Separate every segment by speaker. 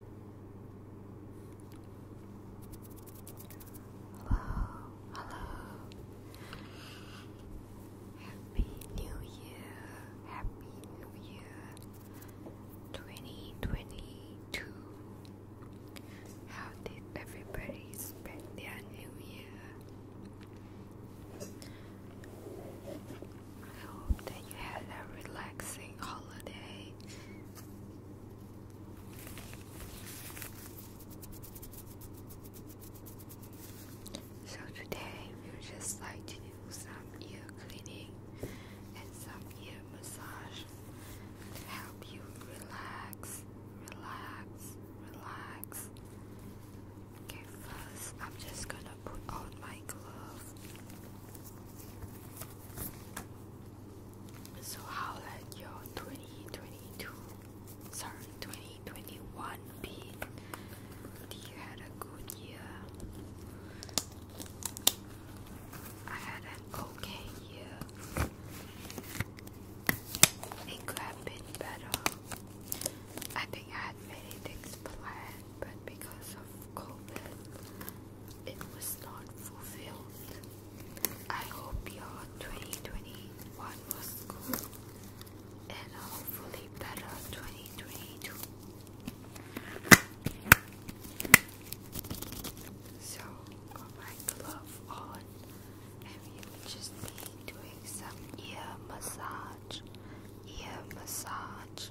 Speaker 1: Hello, hello. Happy New Year, Happy New Year 2022. How did everybody spend their New Year? I hope that you had a relaxing holiday. So today we are just like to do some ear cleaning and some ear massage to help you relax, relax, relax. Okay, first I'm just gonna put on my glove. So how let your 2022, sorry, 2021 be? You had a good year. I had an okay year. It could have been better. I think I had many things planned, but because COVID, it was not fulfilled. I hope your 2021 was good and hopefully better 2022. So, got my glove on, and we will just be doing some ear massage, ear massage.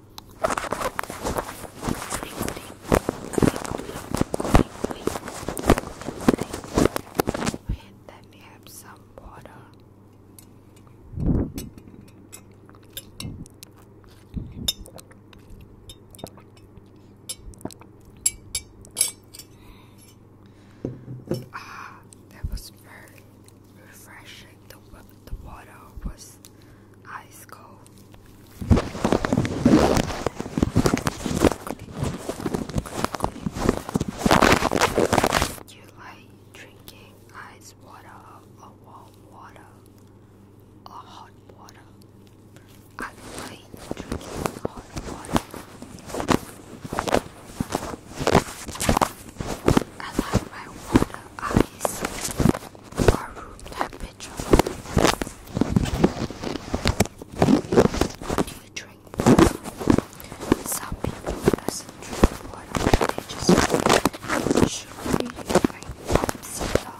Speaker 2: And then have some water. Ah, that was very refreshing. The water was ice cold. You like drinking ice water or warm water or hot water? I like drinking hot water. I like my water ice or room temperature petrol? Do you drink Some people doesn't drink water. They just drink sugar. You drink soda.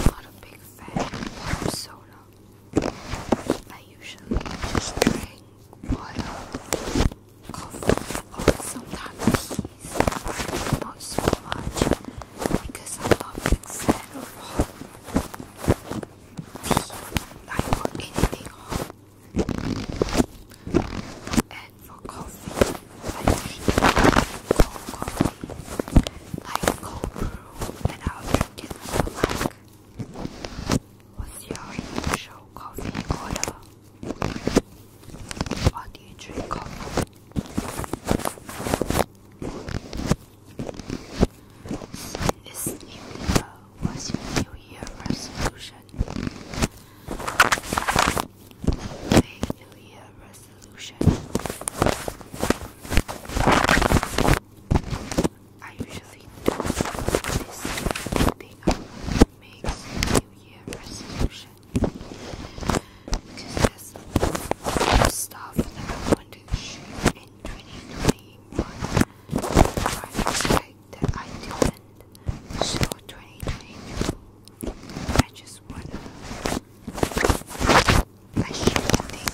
Speaker 2: Not a big fan of soda. I usually just drink water, coffee, sometimes these, not so much, because I love instead of I want anything hot. And for coffee, I usually like cold coffee, like cold brew, and i drink it like. What's your usual coffee order? Why do you drink coffee? what's your New Year resolution? New Year resolution. I usually do this thing I New Year resolution. Because there's stuff that I want to shoot in 2021. Right, that I didn't. So 2022, I just wanna I shoot things.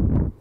Speaker 2: No.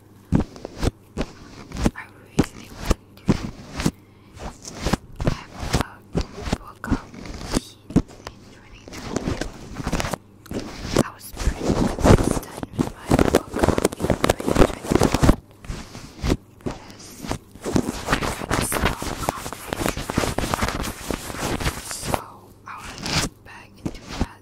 Speaker 2: I really want to have a World Cup in 2022. I was pretty consistent with my World in 2021 because I so accomplished. So I want to get back into that.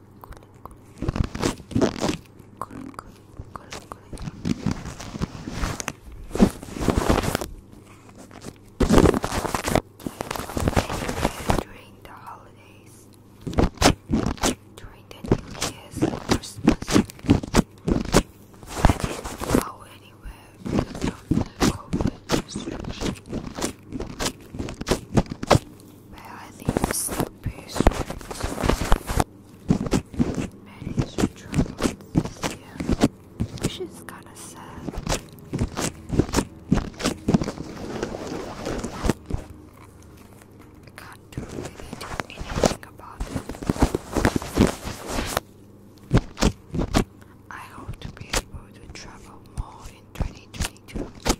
Speaker 2: During the holidays, during the New Year's Christmas, I didn't go anywhere because of the COVID restrictions where I leave the pastries. Manage to travel this year, which is kinda sad. I can't do anything about it. I hope to be able to travel more in 2022.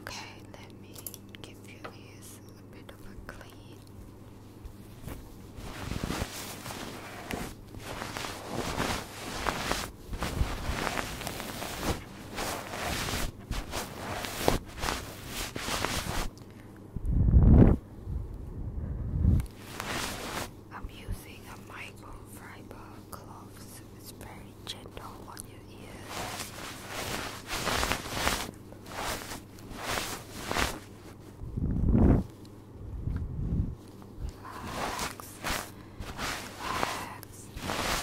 Speaker 3: Okay, let me give you these a bit of a clean. I'm using a microfiber cloth, it's very gentle on your ears. Relax. Relax.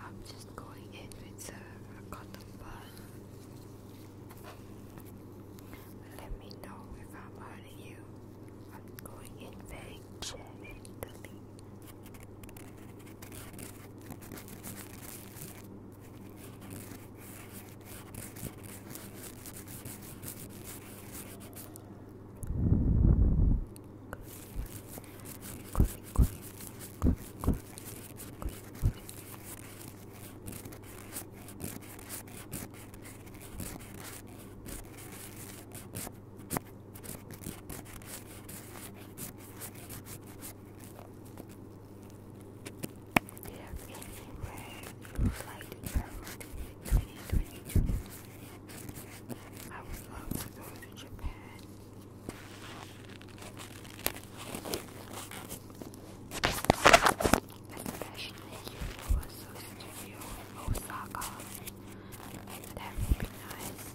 Speaker 1: I'm just going in with uh, a, cotton bud. Let me know if I'm hurting you. I'm going in very gently
Speaker 3: you would like to travel 2022? I would love to go to Japan. Especially Universal Studio in Osaka. That would be nice.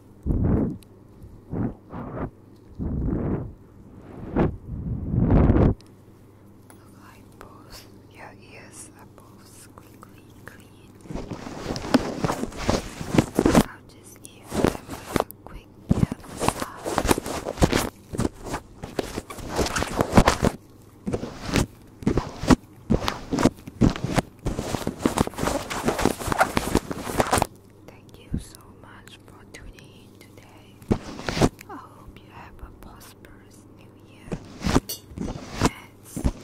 Speaker 3: Look like both your ears are both squeaky clean. I'll just give them a quick ear massage. Thank you so much for tuning in today. I hope you have a prosperous new year. Yes. Good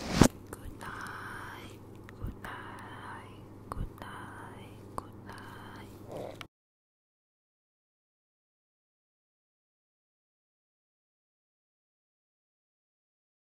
Speaker 3: night. Good night. Good night. Good night.